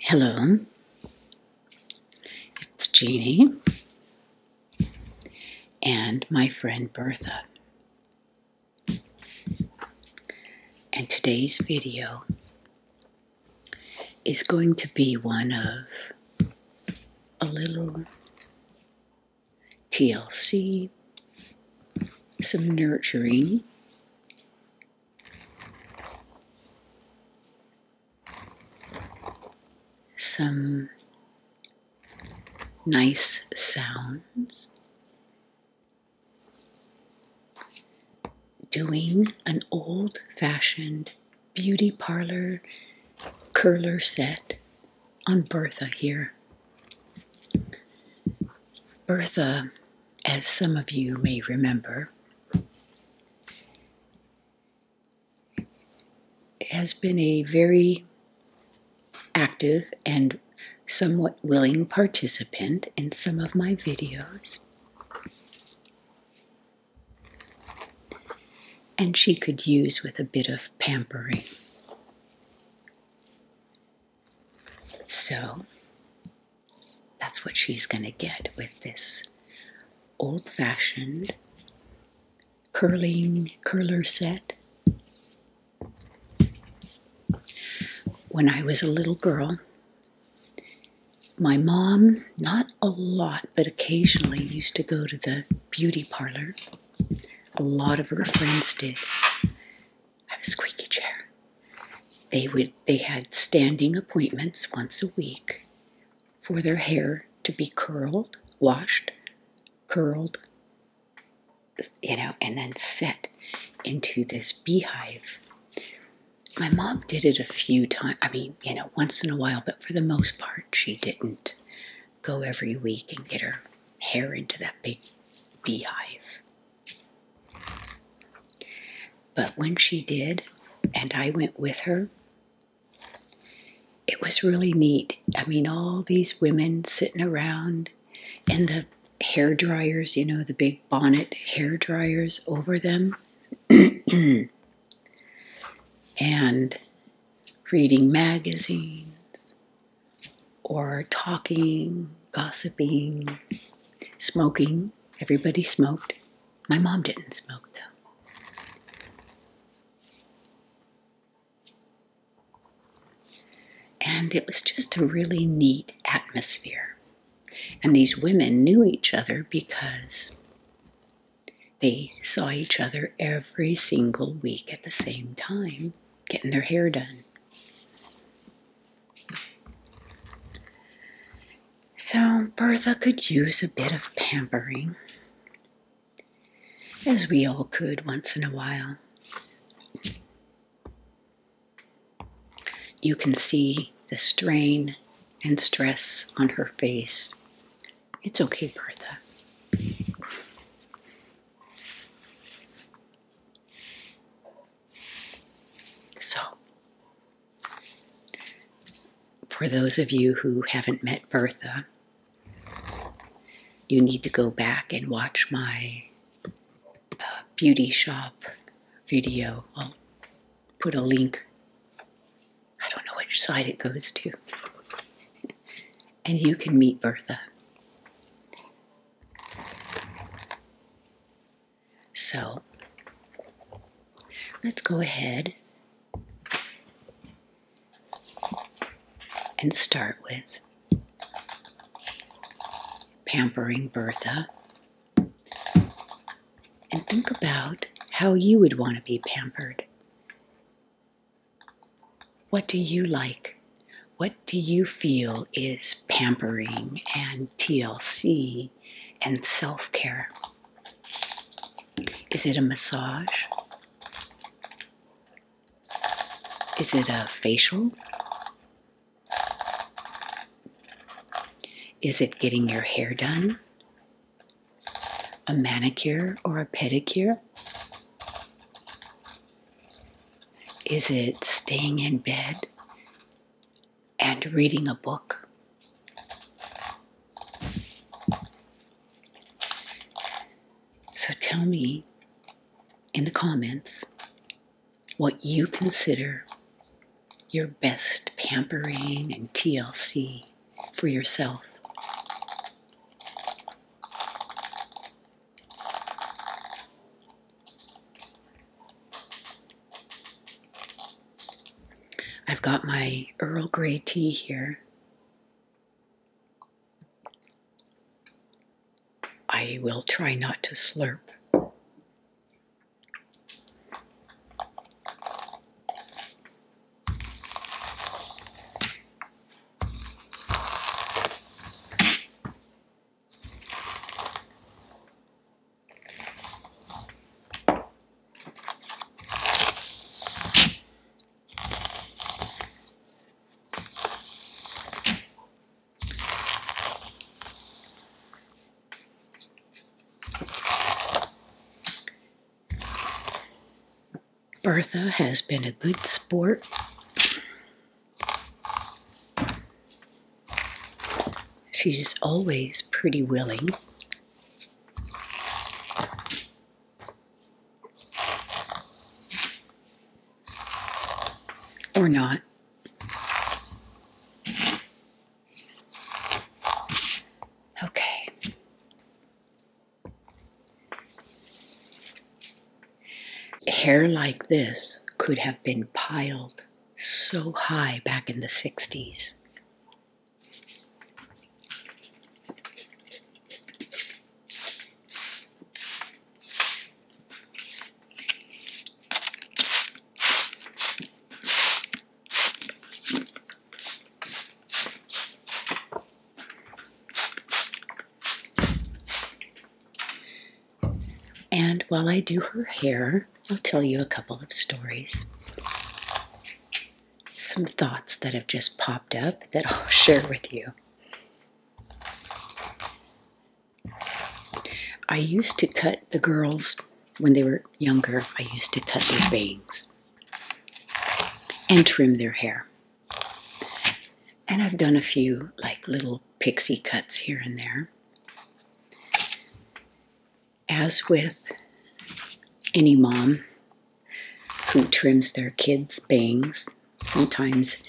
Hello, it's Jeannie and my friend Bertha. And today's video is going to be one of a little TLC, some nurturing, some nice sounds, doing an old fashioned beauty parlor curler set on Bertha here. Bertha as some of you may remember, has been a very active and somewhat willing participant in some of my videos. And she could use with a bit of pampering. So that's what she's going to get with this old fashioned curling curler set. When I was a little girl, my mom, not a lot, but occasionally used to go to the beauty parlor. A lot of her friends did. I have a squeaky chair. They would they had standing appointments once a week for their hair to be curled, washed, curled, you know, and then set into this beehive. My mom did it a few times. I mean, you know, once in a while, but for the most part, she didn't go every week and get her hair into that big beehive. But when she did, and I went with her, it was really neat. I mean, all these women sitting around and the hair dryers, you know, the big bonnet hair dryers over them, and reading magazines or talking, gossiping, smoking. Everybody smoked. My mom didn't smoke, though. And it was just a really neat atmosphere. And these women knew each other because they saw each other every single week at the same time, getting their hair done. So, Bertha could use a bit of pampering, as we all could once in a while. You can see the strain and stress on her face. It's okay, Bertha. So, for those of you who haven't met Bertha, you need to go back and watch my uh, beauty shop video. I'll put a link. I don't know which side it goes to. and you can meet Bertha. So let's go ahead and start with pampering Bertha and think about how you would want to be pampered. What do you like? What do you feel is pampering and TLC and self care? Is it a massage? Is it a facial? Is it getting your hair done? A manicure or a pedicure? Is it staying in bed and reading a book? So tell me in the comments what you consider your best pampering and TLC for yourself. I've got my Earl Grey tea here. I will try not to slurp. Bertha has been a good sport She's always pretty willing. Or not. Okay. Hair like this could have been piled so high back in the 60s. And while I do her hair, I'll tell you a couple of stories. Some thoughts that have just popped up that I'll share with you. I used to cut the girls when they were younger, I used to cut their bangs and trim their hair. And I've done a few like little pixie cuts here and there. As with any mom who trims their kids' bangs, sometimes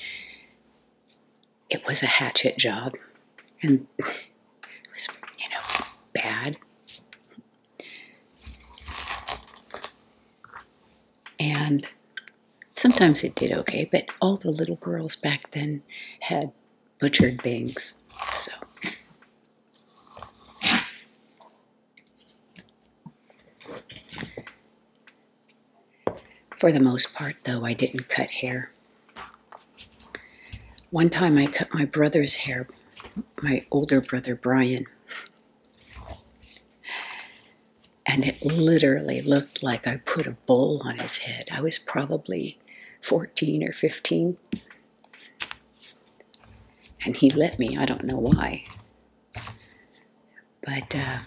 it was a hatchet job and it was, you know, bad. And Sometimes it did okay, but all the little girls back then had butchered bangs. So. For the most part, though, I didn't cut hair. One time I cut my brother's hair, my older brother Brian and it literally looked like I put a bowl on his head. I was probably 14 or 15. And he let me, I don't know why. But uh,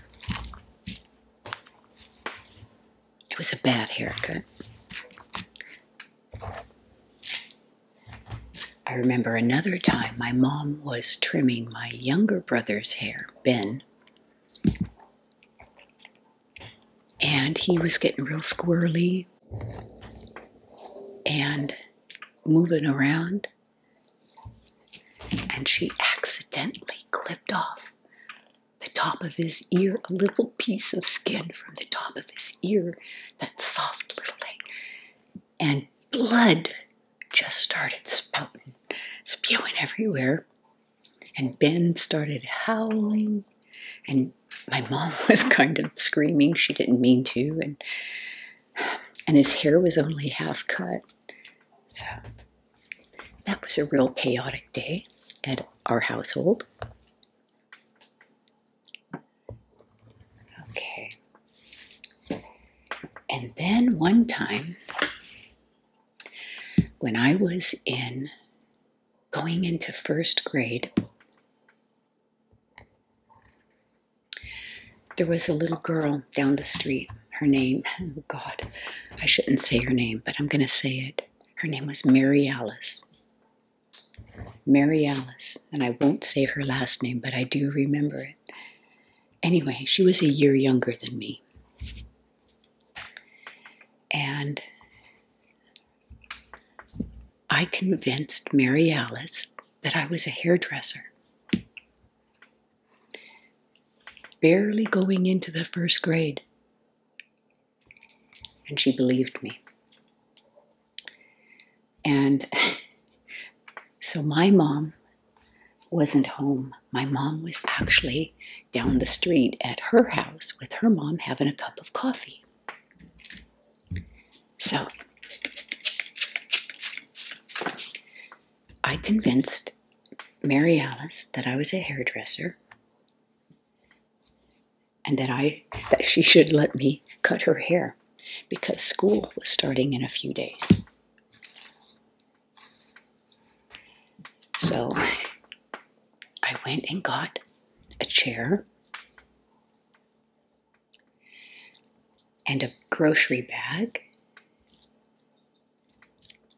it was a bad haircut. I remember another time my mom was trimming my younger brother's hair, Ben, and he was getting real squirrely and moving around and she accidentally clipped off the top of his ear a little piece of skin from the top of his ear that soft little thing and blood just started spouting spewing everywhere and Ben started howling, and my mom was kind of screaming. She didn't mean to, and and his hair was only half cut. So that was a real chaotic day at our household. Okay. And then one time, when I was in going into first grade, there was a little girl down the street. Her name, oh God, I shouldn't say her name, but I'm going to say it. Her name was Mary Alice. Mary Alice, and I won't say her last name, but I do remember it. Anyway, she was a year younger than me. And I convinced Mary Alice that I was a hairdresser. Barely going into the first grade. And she believed me. And so my mom wasn't home. My mom was actually down the street at her house with her mom having a cup of coffee. So I convinced Mary Alice that I was a hairdresser and that I that she should let me cut her hair because school was starting in a few days. So I went and got a chair and a grocery bag.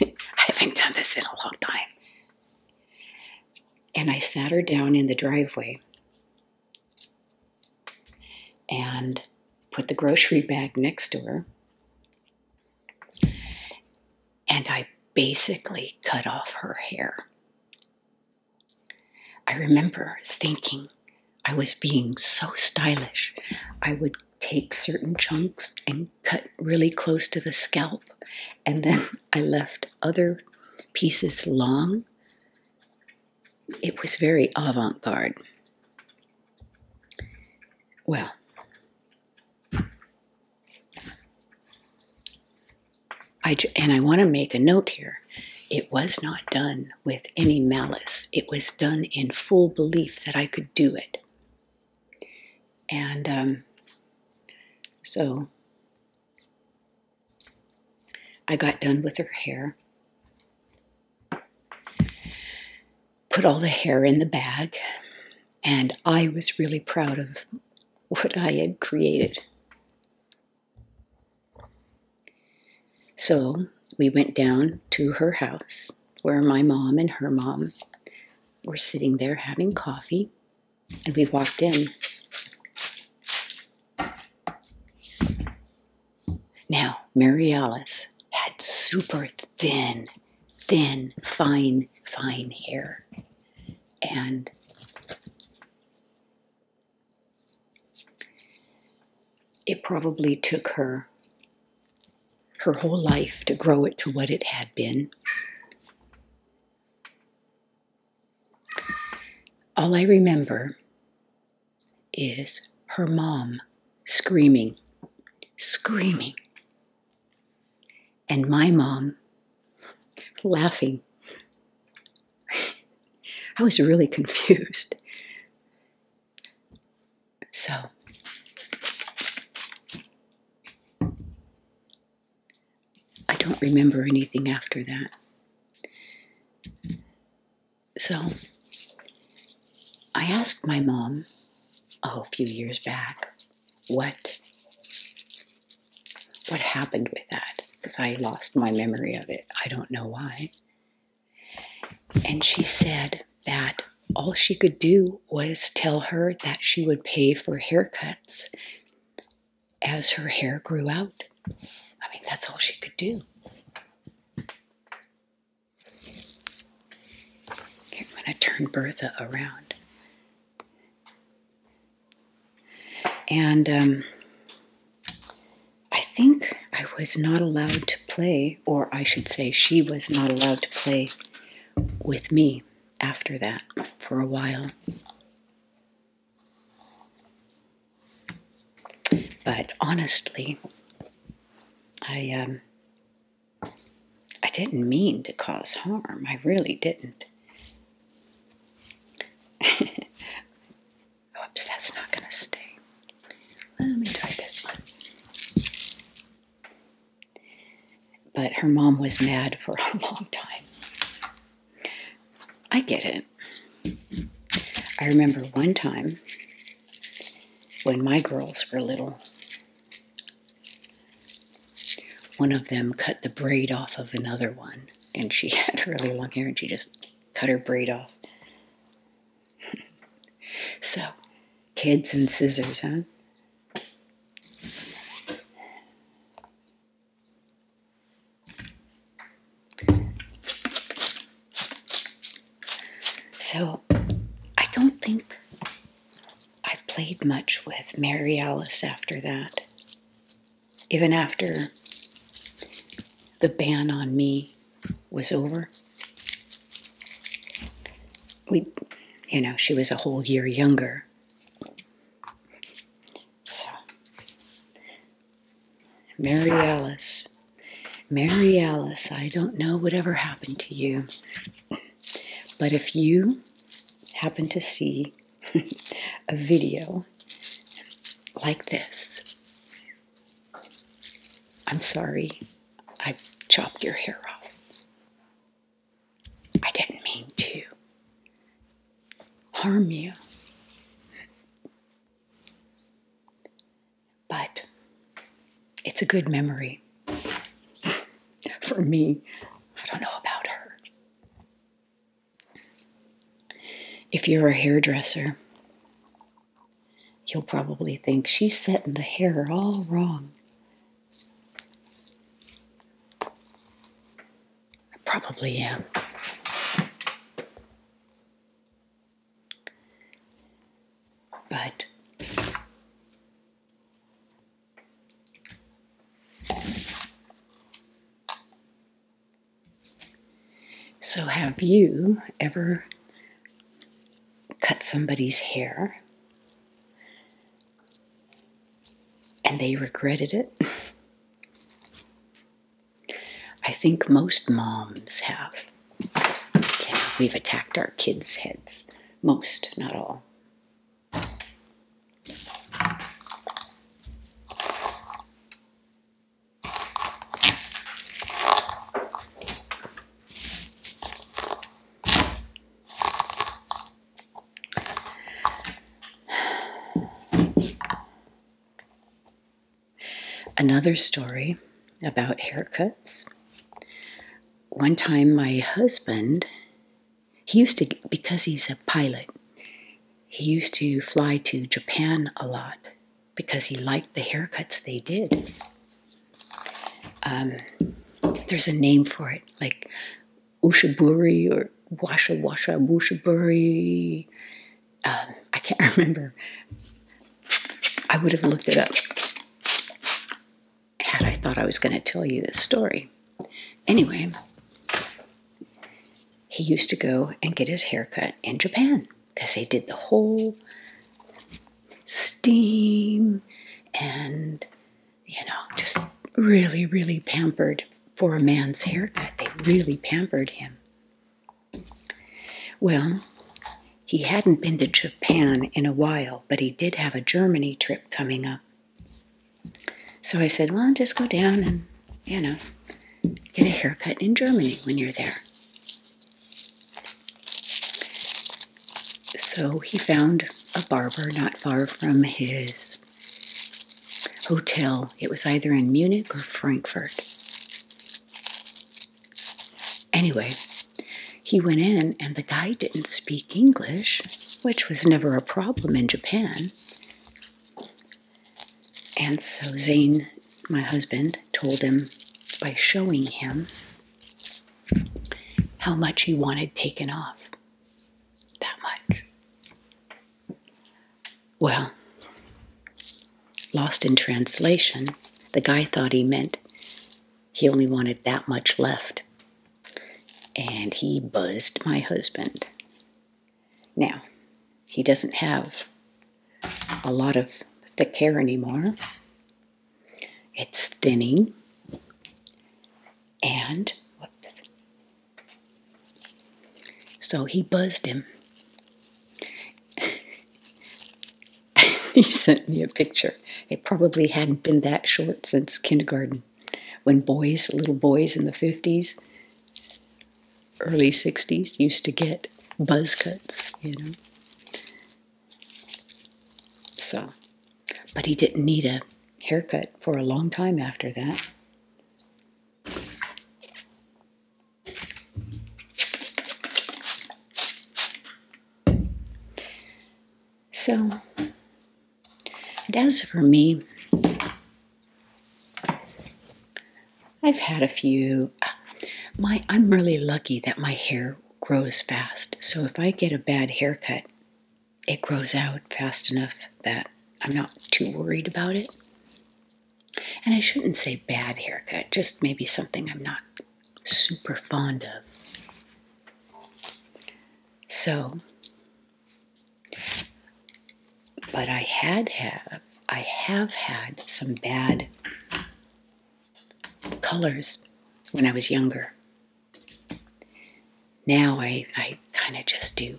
I haven't done this in a long time. And I sat her down in the driveway and put the grocery bag next to her. And I basically cut off her hair. I remember thinking I was being so stylish. I would take certain chunks and cut really close to the scalp, and then I left other pieces long it was very avant garde. Well, I, and I want to make a note here. It was not done with any malice. It was done in full belief that I could do it. And um, so I got done with her hair put all the hair in the bag, and I was really proud of what I had created. So we went down to her house where my mom and her mom were sitting there having coffee, and we walked in. Now, Mary Alice had super thin, thin, fine, fine hair. And it probably took her her whole life to grow it to what it had been. All I remember is her mom screaming, screaming, and my mom laughing. I was really confused. So, I don't remember anything after that. So I asked my mom oh, a few years back what what happened with that because I lost my memory of it. I don't know why. And she said that all she could do was tell her that she would pay for haircuts as her hair grew out. I mean, that's all she could do. I'm going to turn Bertha around. And um, I think I was not allowed to play, or I should say, she was not allowed to play with me after that for a while. But honestly, I um, I didn't mean to cause harm. I really didn't. Oops, that's not going to stay. Let me try this one. But her mom was mad for a long time. I get it. I remember one time when my girls were little, one of them cut the braid off of another one, and she had really long hair, and she just cut her braid off. so, kids and scissors, huh? So I don't think I played much with Mary Alice after that. Even after the ban on me was over. We, you know, she was a whole year younger. So Mary Alice. Mary Alice, I don't know whatever happened to you, but if you happen to see a video like this, I'm sorry, I chopped your hair off. I didn't mean to harm you. But it's a good memory for me. I don't know about her. If you're a hairdresser, you'll probably think she's setting the hair all wrong. I probably am. But so, have you ever cut somebody's hair and they regretted it? I think most moms have. we've attacked our kids' heads. Most, not all. Another story about haircuts. One time, my husband, he used to, because he's a pilot, he used to fly to Japan a lot because he liked the haircuts they did. Um, there's a name for it, like ushiburi or washa washa bushiburi. Um, I can't remember. I would have looked it up had I thought I was going to tell you this story. Anyway, he used to go and get his haircut in Japan because they did the whole steam and, you know, just really, really pampered for a man's haircut. They really pampered him. Well, he hadn't been to Japan in a while, but he did have a Germany trip coming up. So I said, Well, just go down and, you know, get a haircut in Germany when you're there. So he found a barber not far from his hotel. It was either in Munich or Frankfurt. Anyway, he went in, and the guy didn't speak English, which was never a problem in Japan. And so Zane, my husband, told him by showing him how much he wanted taken off. That much. Well, lost in translation, the guy thought he meant he only wanted that much left. And he buzzed my husband. Now, he doesn't have a lot of thick hair anymore. It's thinning. And, whoops. So he buzzed him. he sent me a picture. It probably hadn't been that short since kindergarten, when boys, little boys in the 50s, early 60s, used to get buzz cuts, you know. So, but he didn't need a haircut for a long time after that. So, as for me, I've had a few. My, I'm really lucky that my hair grows fast. So if I get a bad haircut, it grows out fast enough that I'm not too worried about it. And I shouldn't say bad haircut, just maybe something I'm not super fond of. So, but I had have I have had some bad colors when I was younger. Now I, I kind of just do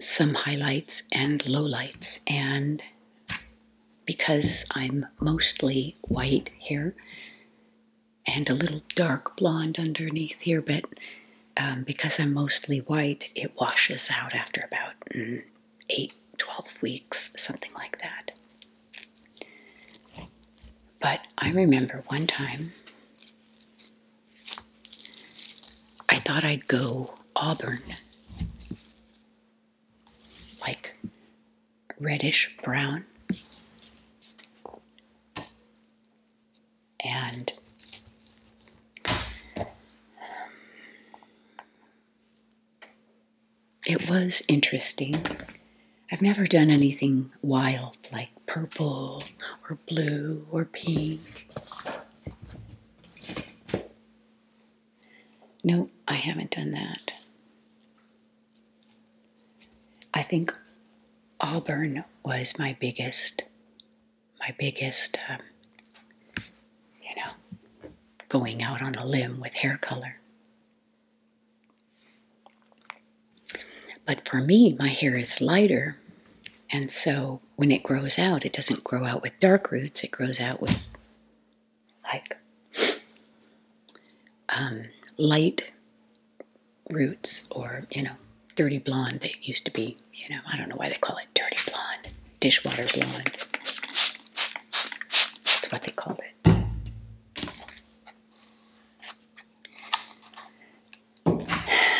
some highlights and lowlights. And because I'm mostly white here and a little dark blonde underneath here, but um, because I'm mostly white, it washes out after about mm, 8, 12 weeks, something like that. But I remember one time I thought I'd go auburn, like reddish brown. And um, it was interesting. I've never done anything wild like purple or blue or pink. No, I haven't done that. I think Auburn was my biggest, my biggest, um, you know, going out on a limb with hair color. But for me, my hair is lighter, and so when it grows out, it doesn't grow out with dark roots, it grows out with like um, light roots or, you know, dirty blonde They used to be, you know, I don't know why they call it dirty blonde, dishwater blonde. That's what they called it.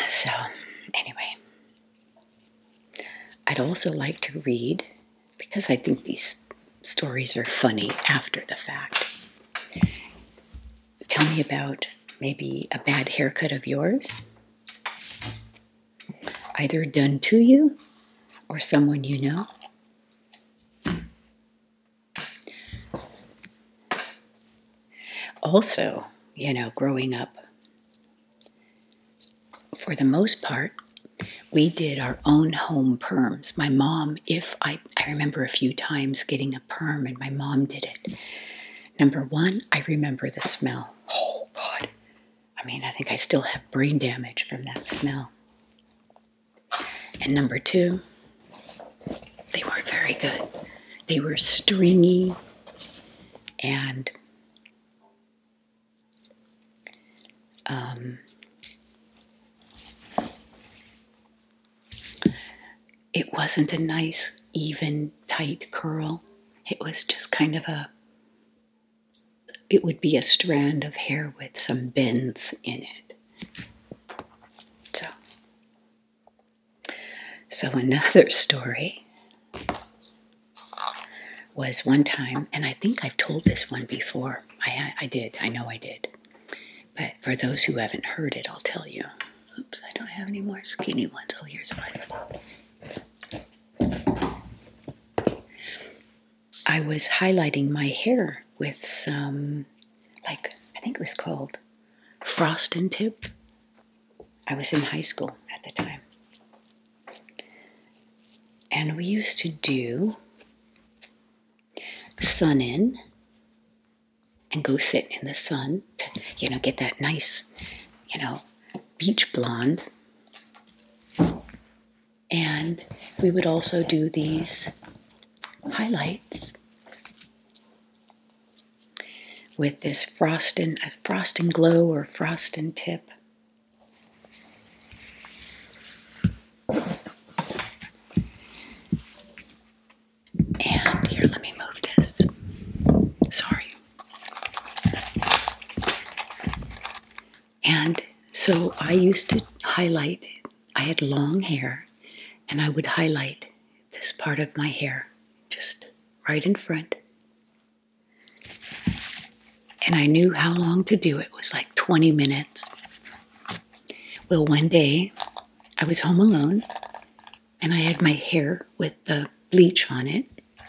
So, anyway, I'd also like to read because I think these stories are funny after the fact. Tell me about maybe a bad haircut of yours, either done to you or someone you know. Also, you know, growing up for the most part, we did our own home perms. My mom, if I, I remember a few times getting a perm and my mom did it. Number one, I remember the smell. Oh, God. I mean, I think I still have brain damage from that smell. And number two, they weren't very good. They were stringy, and um, it wasn't a nice, even, tight curl. It was just kind of a, it would be a strand of hair with some bends in it. So, so, another story was one time, and I think I've told this one before. I, I did, I know I did. But for those who haven't heard it, I'll tell you. Oops, I don't have any more skinny ones. Oh, here's one. I was highlighting my hair with some, like, I think it was called Frost and Tip I was in high school at the time. And we used to do sun in and go sit in the sun to, you know, get that nice, you know, beach blonde. And we would also do these highlights with this frost and frost and glow or frost and tip. And here, let me move this. Sorry. And so I used to highlight, I had long hair, and I would highlight this part of my hair just right in front. And I knew how long to do it was like 20 minutes. Well, one day I was home alone and I had my hair with the bleach on it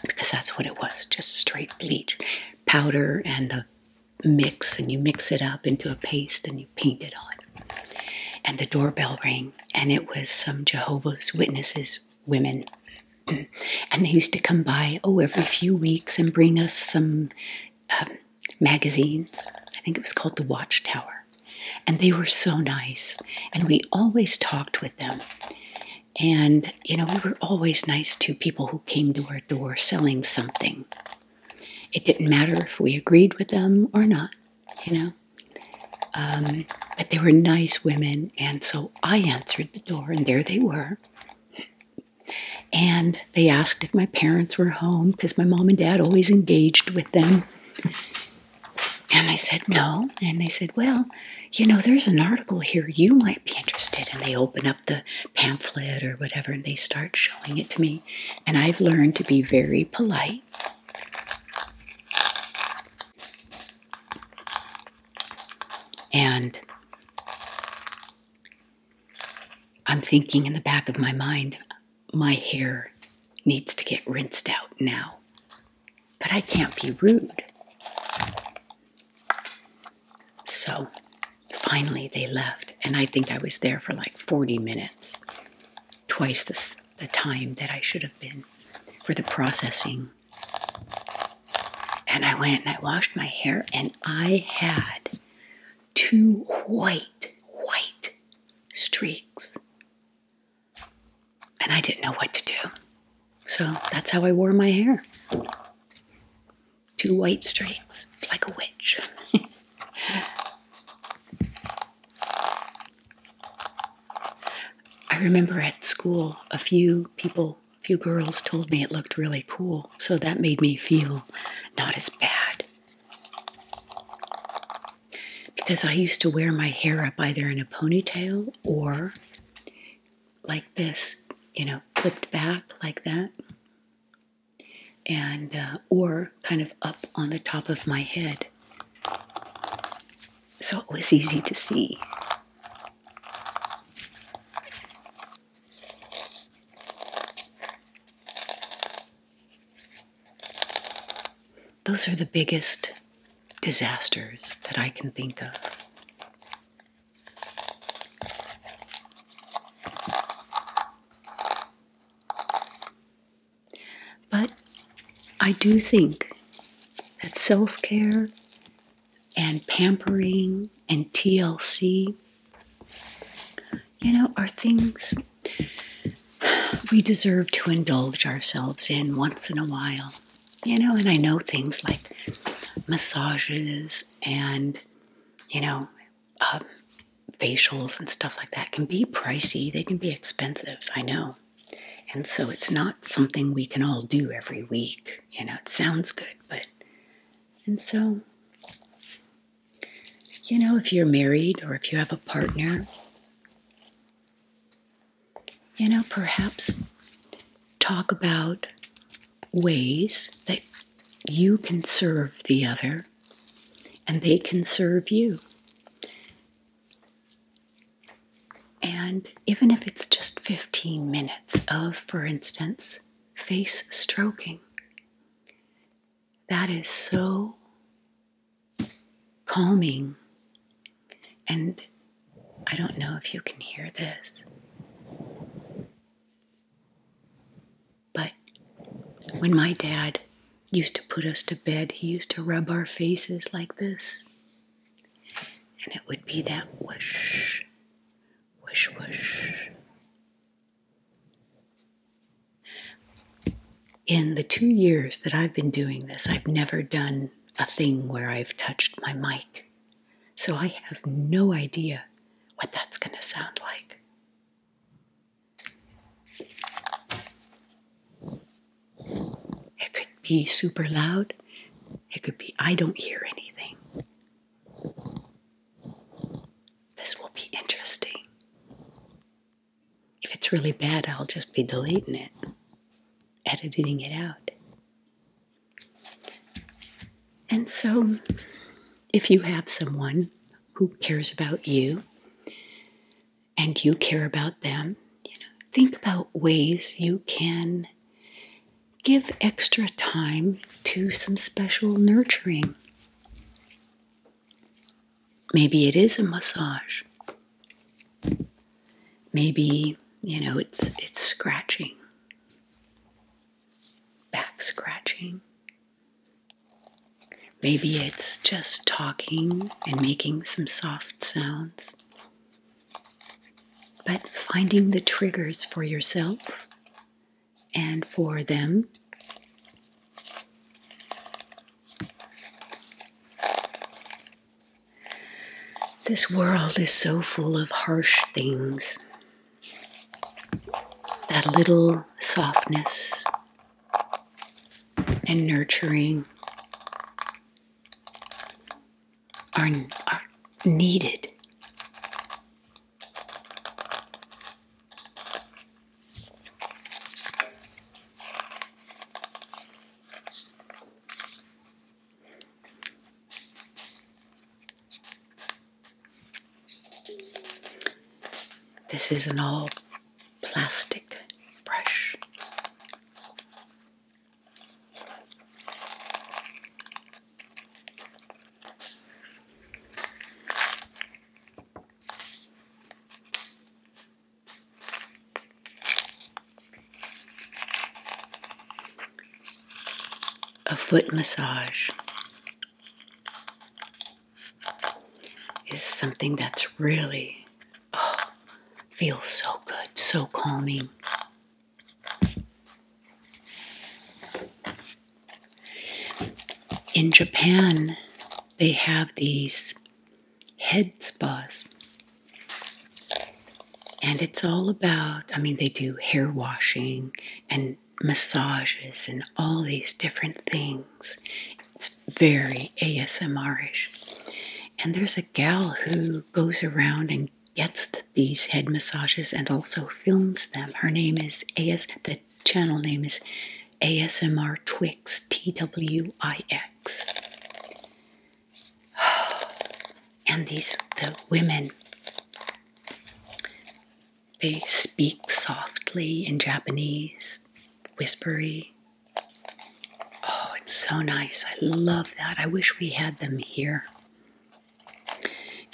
because that's what it was just straight bleach, powder, and the mix. And you mix it up into a paste and you paint it on. And the doorbell rang, and it was some Jehovah's Witnesses women. and they used to come by, oh, every few weeks and bring us some um, magazines. I think it was called The Watchtower. And they were so nice. And we always talked with them. And, you know, we were always nice to people who came to our door selling something. It didn't matter if we agreed with them or not you know. Um, but they were nice women, and so I answered the door, and there they were. And they asked if my parents were home because my mom and dad always engaged with them. And I said, no. And they said, well, you know, there's an article here you might be interested. And they open up the pamphlet or whatever and they start showing it to me. And I've learned to be very polite. And I'm thinking in the back of my mind, my hair needs to get rinsed out now. But I can't be rude. So finally they left, and I think I was there for like 40 minutes, twice the the time that I should have been for the processing. And I went and I washed my hair, and I had two white, white streaks. And I didn't know what to do. So that's how I wore my hair. Two white streaks, like a witch. I remember at school, a few people, a few girls told me it looked really cool, so that made me feel not as bad. Because I used to wear my hair up either in a ponytail or like this, you know, clipped back like that, and uh, or kind of up on the top of my head so it was easy to see. Those are the biggest disasters that I can think of. But I do think that self care and pampering and TLC, you know, are things we deserve to indulge ourselves in once in a while. You know, and I know things like massages and, you know, um, facials and stuff like that can be pricey. They can be expensive, I know. And so it's not something we can all do every week. You know, it sounds good, but. And so, you know, if you're married or if you have a partner, you know, perhaps talk about ways that you can serve the other and they can serve you. And even if it's just 15 minutes of, for instance, face stroking, that is so calming. And I don't know if you can hear this, but when my dad used to put us to bed, he used to rub our faces like this. And it would be that whoosh, whoosh, whoosh. In the two years that I've been doing this, I've never done a thing where I've touched my mic. So I have no idea what that's going to sound like. It could be super loud. It could be, I don't hear anything. This will be interesting. If it's really bad, I'll just be deleting it, editing it out. And so, if you have someone who cares about you, and you care about them. You know, think about ways you can give extra time to some special nurturing. Maybe it is a massage. Maybe, you know, it's it's scratching. Back scratching. Maybe it's just talking and making some soft sounds. But finding the triggers for yourself and for them. This world is so full of harsh things. That little softness and nurturing are, needed. This is not all plastic brush. A foot massage is something that's really Oh, feels so good, so calming. In Japan, they have these head spas. And it's all about, I mean, they do hair washing and massages and all these different things. It's very ASMR ish. And there's a gal who goes around and gets these head massages and also films them. Her name is AS, the channel name is ASMR Twix, T W I X. And these, the women, they speak softly in Japanese, whispery, Oh, it's so nice. I love that. I wish we had them here.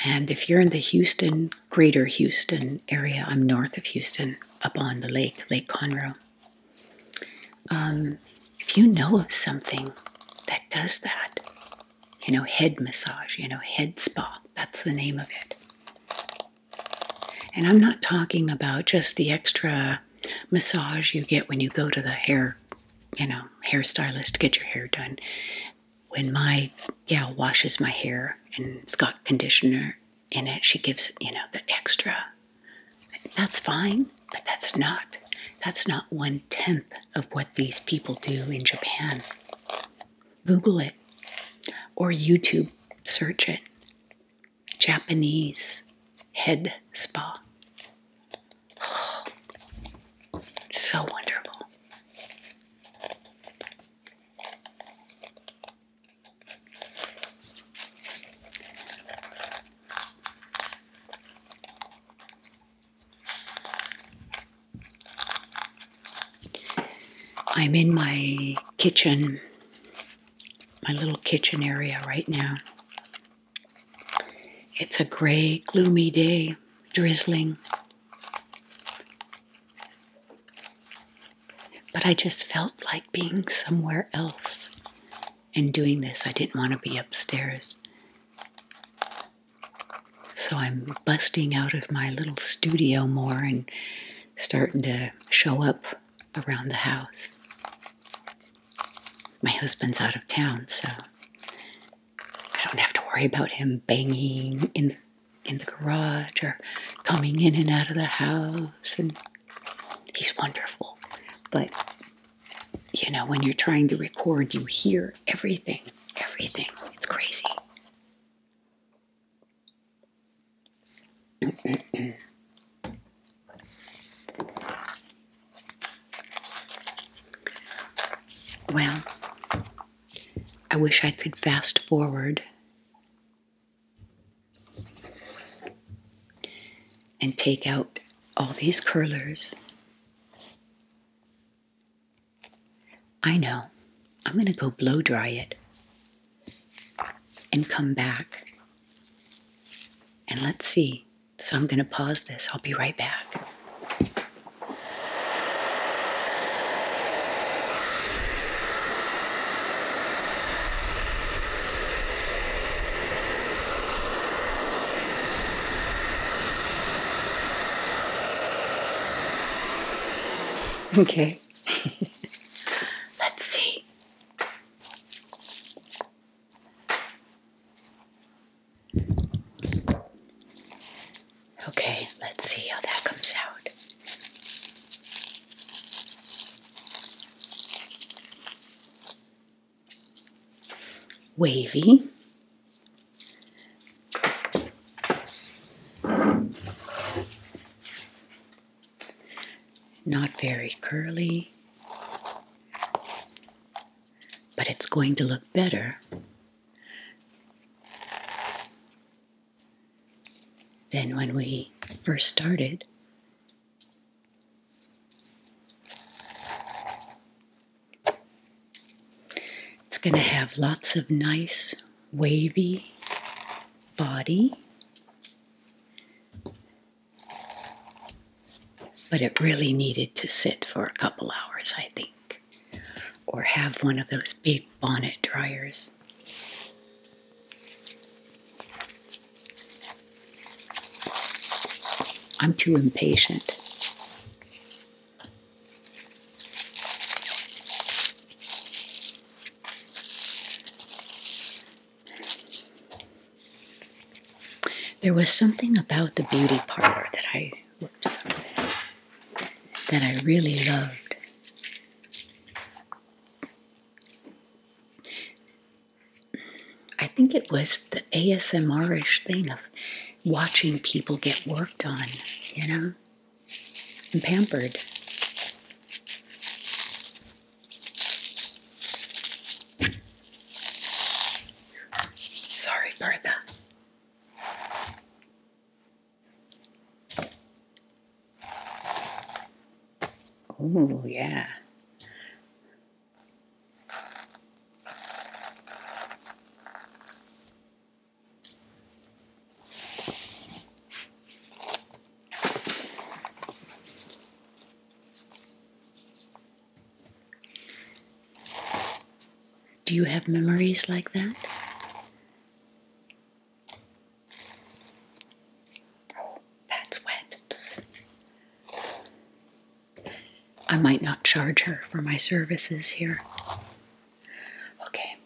And if you're in the Houston, greater Houston area, I'm north of Houston, up on the lake, Lake Conroe. Um, if you know of something that does that, you know, head massage, you know, head spa, that's the name of it. And I'm not talking about just the extra massage you get when you go to the hair, you know, hairstylist to get your hair done. When my gal washes my hair and it's got conditioner in it, she gives, you know, the extra. That's fine, but that's not that's not one tenth of what these people do in Japan. Google it or YouTube search it. Japanese head spa. so wonderful. I'm in my kitchen my little kitchen area right now. It's a gray, gloomy day, drizzling. But I just felt like being somewhere else and doing this. I didn't want to be upstairs. So I'm busting out of my little studio more and starting to show up around the house. My husband's out of town, so I don't have to worry about him banging in in the garage or coming in and out of the house and he's wonderful. But you know, when you're trying to record, you hear everything, everything. It's crazy well, I wish I could fast forward and take out all these curlers. I know. I'm going to go blow dry it and come back. And let's see. So I'm going to pause this. I'll be right back. Okay. Let's see. Okay, let's see how that comes out. Wavy. Not very curly, but it's going to look better than when we first started. It's going to have lots of nice wavy body but it really needed to sit for a couple hours, I think, or have one of those big bonnet dryers. I'm too impatient. There was something about the beauty parlor that I that I really loved. I think it was the ASMR-ish thing of watching people get worked on, you know, and pampered. Sorry, Bertha. Oh, yeah. Do you have memories like that? Oh, that's wet. I might not charge her for my services here. Okay.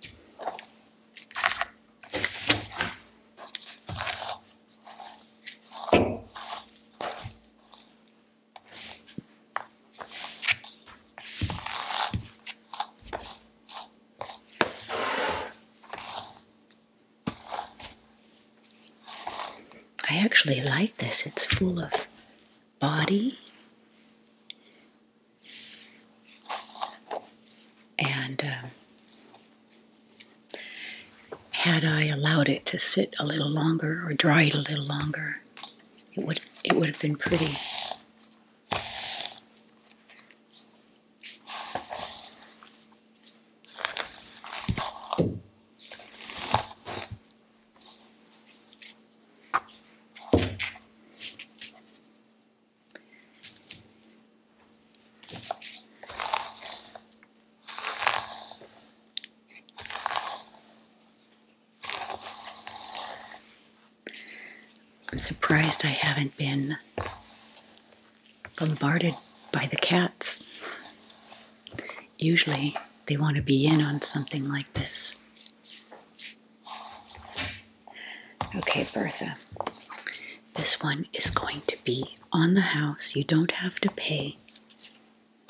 I actually like this. It's full of body and um, had I allowed it to sit a little longer or dry it a little longer, it would it would have been pretty. I'm surprised I haven't been bombarded by the cats. Usually they want to be in on something like this. Okay, Bertha. This one is going to be on the house. You don't have to pay.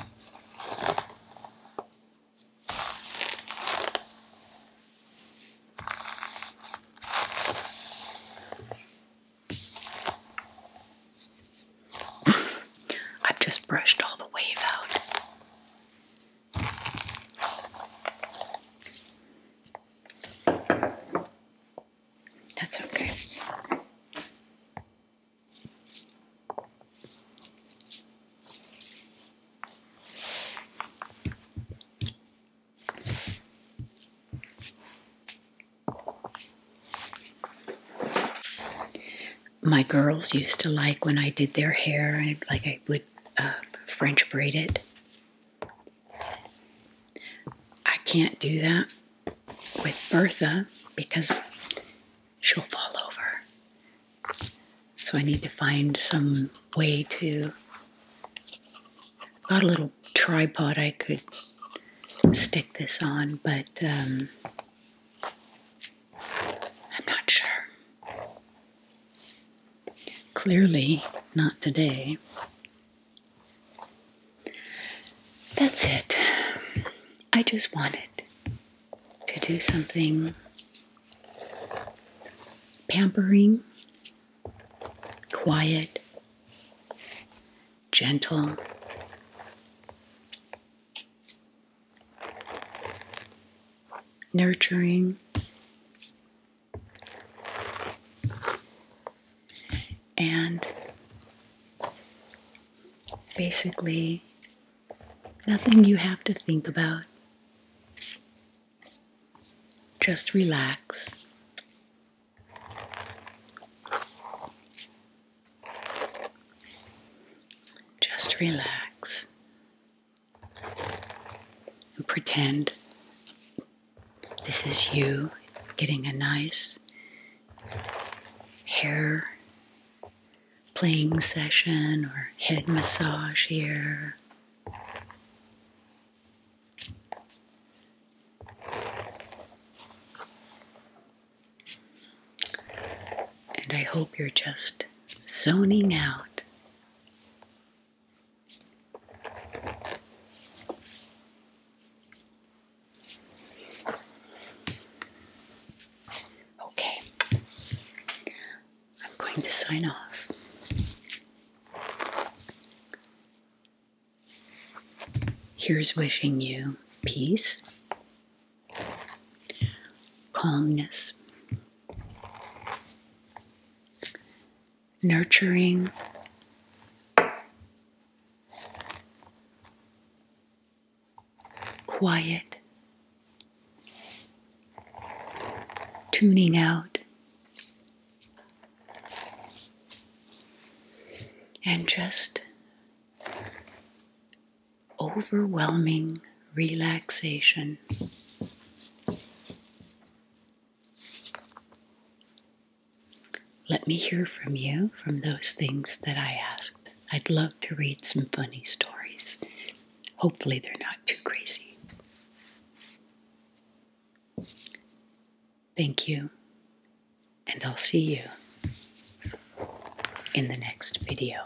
I've just brushed all the wave out. That's okay. My girls used to like when I did their hair, like I would uh, French braid it. I can't do that with Bertha because she'll fall over. So I need to find some way to. Got a little tripod I could stick this on, but um, I'm not sure. Clearly, not today. That's it. I just wanted to do something pampering, quiet, gentle. Nurturing, and basically, nothing you have to think about. Just relax. Just relax and pretend this is you getting a nice hair playing session or head massage here. And I hope you're just zoning out Okay, I'm going to sign off. Here's wishing you peace, calmness, nurturing. Quiet, tuning out, and just overwhelming relaxation. Let me hear from you from those things that I asked. I'd love to read some funny stories. Hopefully, they're not too crazy. Thank you, and I'll see you in the next video.